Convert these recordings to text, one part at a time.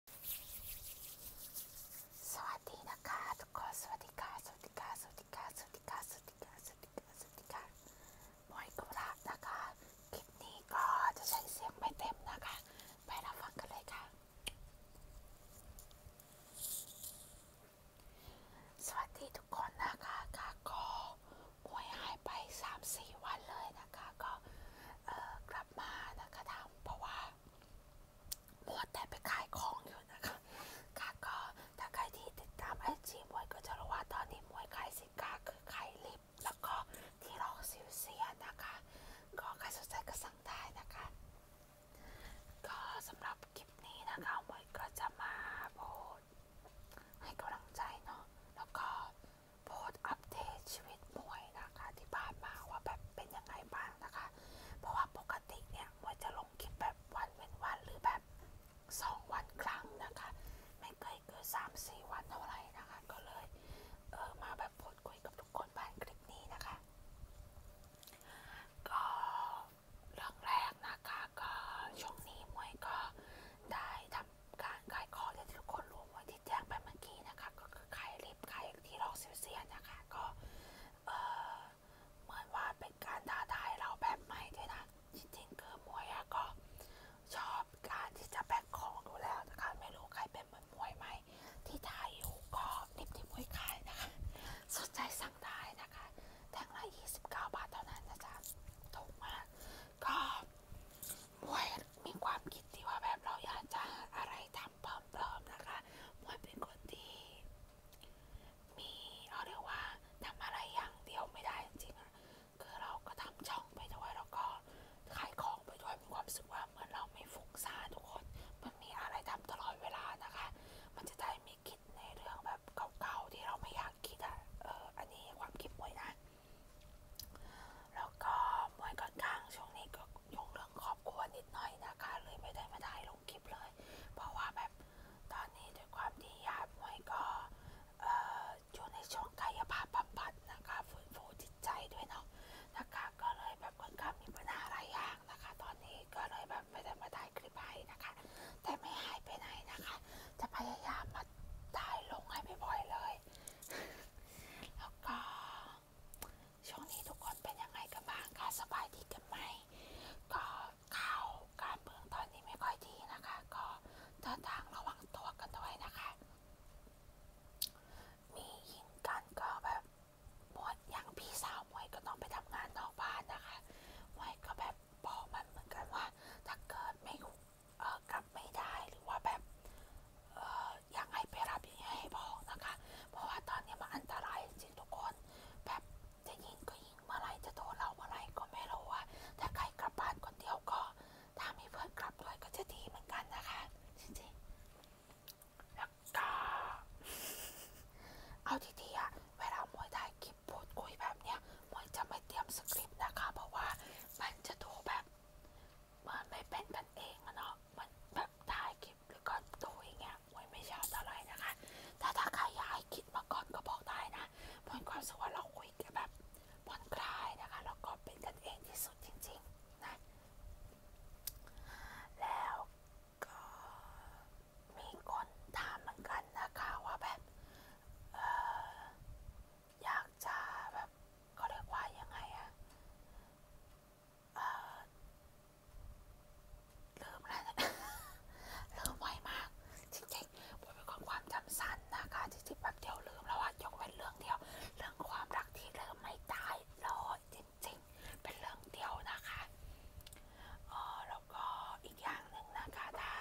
สวัสดีนะคะทุกคนสวัสดีค่ะสวัสดีค่ะสวัสดีค่ะสวัสดีค่ะสวัสดีค่ะสวัสดีค่ะสวัสดีค่ะมอยกุลาบนะคะคลิปนี้ก็จะใช้เสียงไม่เต็มนะคะ ไปรับฟังกันเลยค่ะ สวัสดีทุกคนนะคะค่ะก็มวยหายไป 3-4 วันเลยนะคะ ก็กลัลับมานะคะทำเพราะว่ามัวแต่ไปขายของอยู่นะคะ ค่ะก็ถ้าใครที่ติดตามไอจีมวยก็จะรู้ว่าตอนนี้มวยขายสินค้าคือขายลิปแล้วก็ที่รองซิลเซียนะคะ ก็ใครสนใจก็สั่งได้นะคะ ก็สำหรับคลิปนี้นะคะ มวยก็จะมาโพสให้กำลังใจเนาะแล้วก็โพสอัปเดตชีวิตมวยนะคะที่ผ่านมาว่าแบบเป็นยังไงบ้างนะคะ เพราะว่าปกติเนี่ยมวยจะลงคลิปแบบวันเป็นวัน หรือแบบสองวันครั้งนะคะ ไม่เคยเกินสามสี่วันเท่าไหร่นะคะ ก็เลยเออมาแบบพูดคุยกับทุกคนผ่านคลิปนี้นะคะ ก็เรื่องแรกนะคะก็ช่วงนี้มวยก็ได้ทำการขายของที่ทุกคนรู้ว่าที่แจ้งไปเมื่อกี้นะคะก็คือขายลิฟขายที่ลอกซิลเซียนนะคะก็เหมือนว่าเป็นการท้าทายเราแบบใหม่ด้วยนะจริงๆคือมวยอะก็ชอบการที่จะแบกของดูแล้วนะคะไม่รู้ใครเป็นเหมือนมวยไหมที่ไทยอยู่ก็ลิฟที่มวยขายนะคะสนใจสั่งได้นะคะแท่งละ 29 บาทเท่านั้นนะจ๊ะถูกมากก็มวยมีความคิดที่ว่าแบบเราอยากจะอะไรทำปลอมๆนะคะมวยเป็นคนที่มีเราเรียกว่าทำอะไรอย่างเดียวไม่ได้จริงๆคือเราก็ทำช่องไปด้วยแล้วก็ขายของไปด้วยมีความรู้สึกว่าเหมือนเราไม่ฟุ้งซ่านทุกคนมันมีอะไรทำตลอดเวลานะคะ มันจะได้มีคิดในเรื่องแบบเก่าๆที่เราไม่อยากคิดอ่ะเอออันนี้ความคิดมวยนะแล้วก็มวยก่อนข้างช่วงนี้ก็ยุ่งเรื่องครอบครัวนิดหน่อยนะคะเลยไม่ได้มาถ่ายลงคลิปเลย เพราะว่าแบบตอนนี้ด้วยความที่ญาติมวยก็เอ่ออยู่ในช่วงกายภาพบำบัดนะคะฟื้นฟูจิตใจด้วยเนาะนะคะก็เลยแบบค่อนข้างมีปัญหาหลายอย่างนะคะ ตอนนี้ก็เลยแบบไม่ได้มาถ่ายคลิปให้นะคะ แต่ไม่หายไปไหนนะคะ จะพยายามมาถ่ายลง ให้บ่อยๆเลย แล้วก็ช่วงนี้ทุกคนเป็นยังไงกันบ้างคะ สบายดีกันไหมก็ข่าวการเมืองตอนนี้ไม่ค่อยดีนะคะ ก็เดินทางระวังตัวกันด้วยนะคะ มียิงกันก็แบบหมดอย่างพี่สาวมวยก็ต้องไปทำงานนอกบ้านนะคะมวยก็แบบบอกมันเหมือนกันว่าถ้าเกิดไม่กลับไม่ได้หรือว่าแบบอยากให้ไปรับอย่างเงี้ยให้บอกนะคะเพราะว่าตอนนี้มันอันตรายจริงทุกคน แบบจะยิงก็ยิงเมื่อไรจะโดนเราเมื่อไรก็ไม่รู้ว่าถ้าใครกลับบ้านคนเดียวก็ถ้ามีเพื่อนกลับด้วยก็จะดีเหมือนกันนะคะจริงๆแล้วกาเอาทีๆอะเวลามวยถ่ายคลิปพูดคุยแบบเนี้ยมวยจะไม่เตรียมสคริปต์นะคะเพราะว่ามันจะดูแบบมันไม่เป็นกันเองอะเนาะมันแบบถ่ายคลิปหรือก็ดูอย่างเงี้ยมวยไม่ชอบเท่าไหร่นะคะแต่ถ้าใครอยากให้คิดมาก่อนก็บอกได้นะบนความสุขว่าเราคุยกันแบบผ่อนคลายนะคะแล้วก็เป็นกันเองที่สุดจริงๆนะแล้วก็มีคนถามเหมือนกันนะคะว่าแบบเอออยากจะ แบบเขาเรียกว่ายังไงอะเออลืมแล้วลืมไวมาก จริงๆผมเป็นคนความจำสั้นนะคะ จริงๆแบบเดียวลืมแล้วอะยกเว้นเรื่องเดียว เรื่องความรักที่ลืมไม่ได้เลยจคิดจริงเป็นเรื่องเดียวนะคะออแล้วก็อีกอย่างหนึ่งนะคะ ถ้า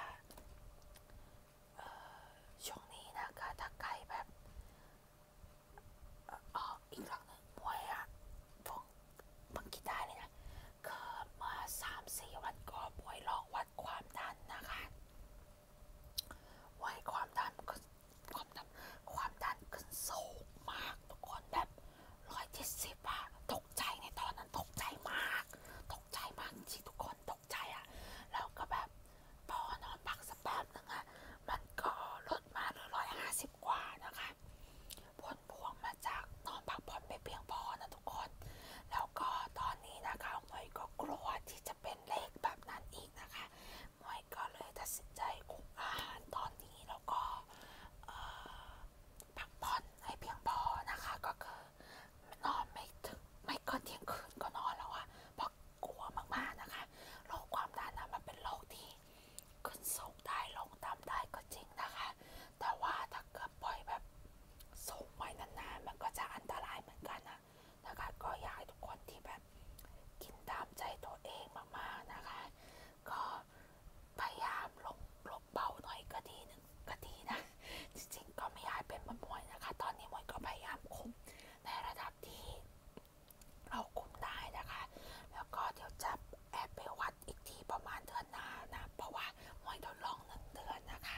ช่วงนี้นะคะ ถ้าใครแบบอ๋ออีกหลังหนึ่งมวยอะพวกบังคิดได้เลยนะเกิดมาสามสี่วันก่อนมวยลองวัดความดันนะคะวัยความดันก็ความดันความดันขึ้นสูงมากทุกคนแบบร้อยเจ็ดสิบอะตกใจในตอนนั้น ตกใจมากตกใจมากจริงทุกคนตกใจอะแล้วก็แบบพอนอนพักสักแป๊บนึงอะมันก็ลดมาเหลือร้อยห้าสิบกว่านะคะผลพวงมาจากนอนพักผ่อนไม่เพียงพอนะทุกคน แล้วก็ตอนนี้นะคะหมวยก็กลัวที่จะเป็นเลขแบบนั้นอีกนะคะมวยก็เลยตัดสินใจคุกอาหารตอนนี้แล้วก็พักผ่อนให้เพียงพอนะคะก็คือนอนไม่ถึงไม่ก็เที่ยงคืนก็นอนแล้วอะเพราะกลัวมากๆนะคะโรคความดันนะมันเป็นโรคที่ขึ้นสูงได้ลงต่ำได้ก็จริงนะคะ แต่ว่าถ้าเกิดปล่อยแบบสูงไว้นานๆ มันก็จะอันตรายเหมือนกันนะนะคะก็อยากให้ทุกคนที่แบบกินตามใจตัวเองมากๆนะคะ ก็พยายามลงลบเบาหน่อยก็ดีนึงก็ดีนะจริงๆก็ไม่อยากเป็นมวยนะคะ ตอนนี้มวยก็พยายามคุมในระดับที่เราคุมได้นะคะ แล้วก็เดี๋ยวจะแอบไปวัดอีกทีประมาณเดือนหน้านะ เพราะว่ามวยทดลองหนึ่งเดือนนะคะ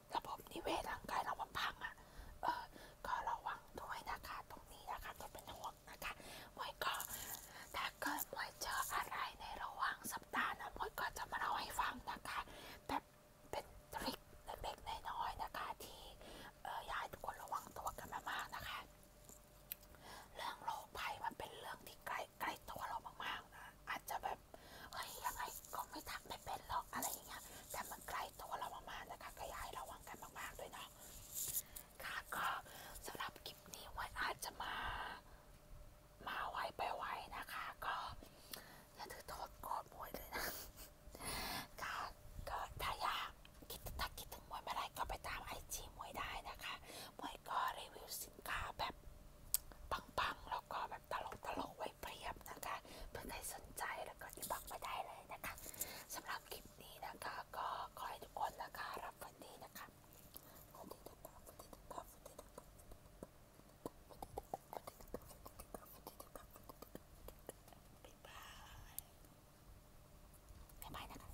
ระบบนิเวศร่างกายเรามันพังอ่ะ เออก็ระวังด้วยนะคะตรงนี้นะคะจะเป็นห่วงนะคะมวยก็ถ้าเกิดมวยเจออะไรในระหว่างสัปดาห์นะมวยก็จะมาเล่าให้ฟังนะคะแบบเป็นทริคเล็กๆน้อยๆนะคะ ที่เอออยากให้ทุกคนระวังตัวกันมากๆนะคะ เรื่องโรคภัยมันเป็นเรื่องที่ใกล้ใกล้ตัวเรามากๆนะอาจจะแบบเฮ้ยยังไงก็ไม่ทักไม่เป็นหรอกอะไรอย่างเงี้ยแต่มันใกล้ตัวเรามากๆนะคะก็อยากให้ระวังกันมากๆด้วยเนาะค่ะก็สำหรับคลิปนี้ไว้อาจจะมา มาไวไปไวนะคะ ก็อย่าถือโทษโกรธมวยเลยนะค่ะก็ถ้าอยากคิดถ้าคิดถึงมวยเมื่อไรก็ไปตามไอจีมวยได้นะคะ มวยก็รีวิวสินค้าแบบปัง ๆ แล้วก็แบบตลกตลกไว้เปรียบนะคะ เพื่อใครสนใจแล้วก็ที่บอกมาได้เลยนะคะ สำหรับคลิปนี้นะคะก็ขอให้ทุกคนนะคะรับฟันดีนะคะวันดีทุกคนวันดีทุกคนวันดีทุกคนวันดีทุกคนวันดีทุกคนวันดีทุกคนบ๊ายบายบ๊ายบายนะคะ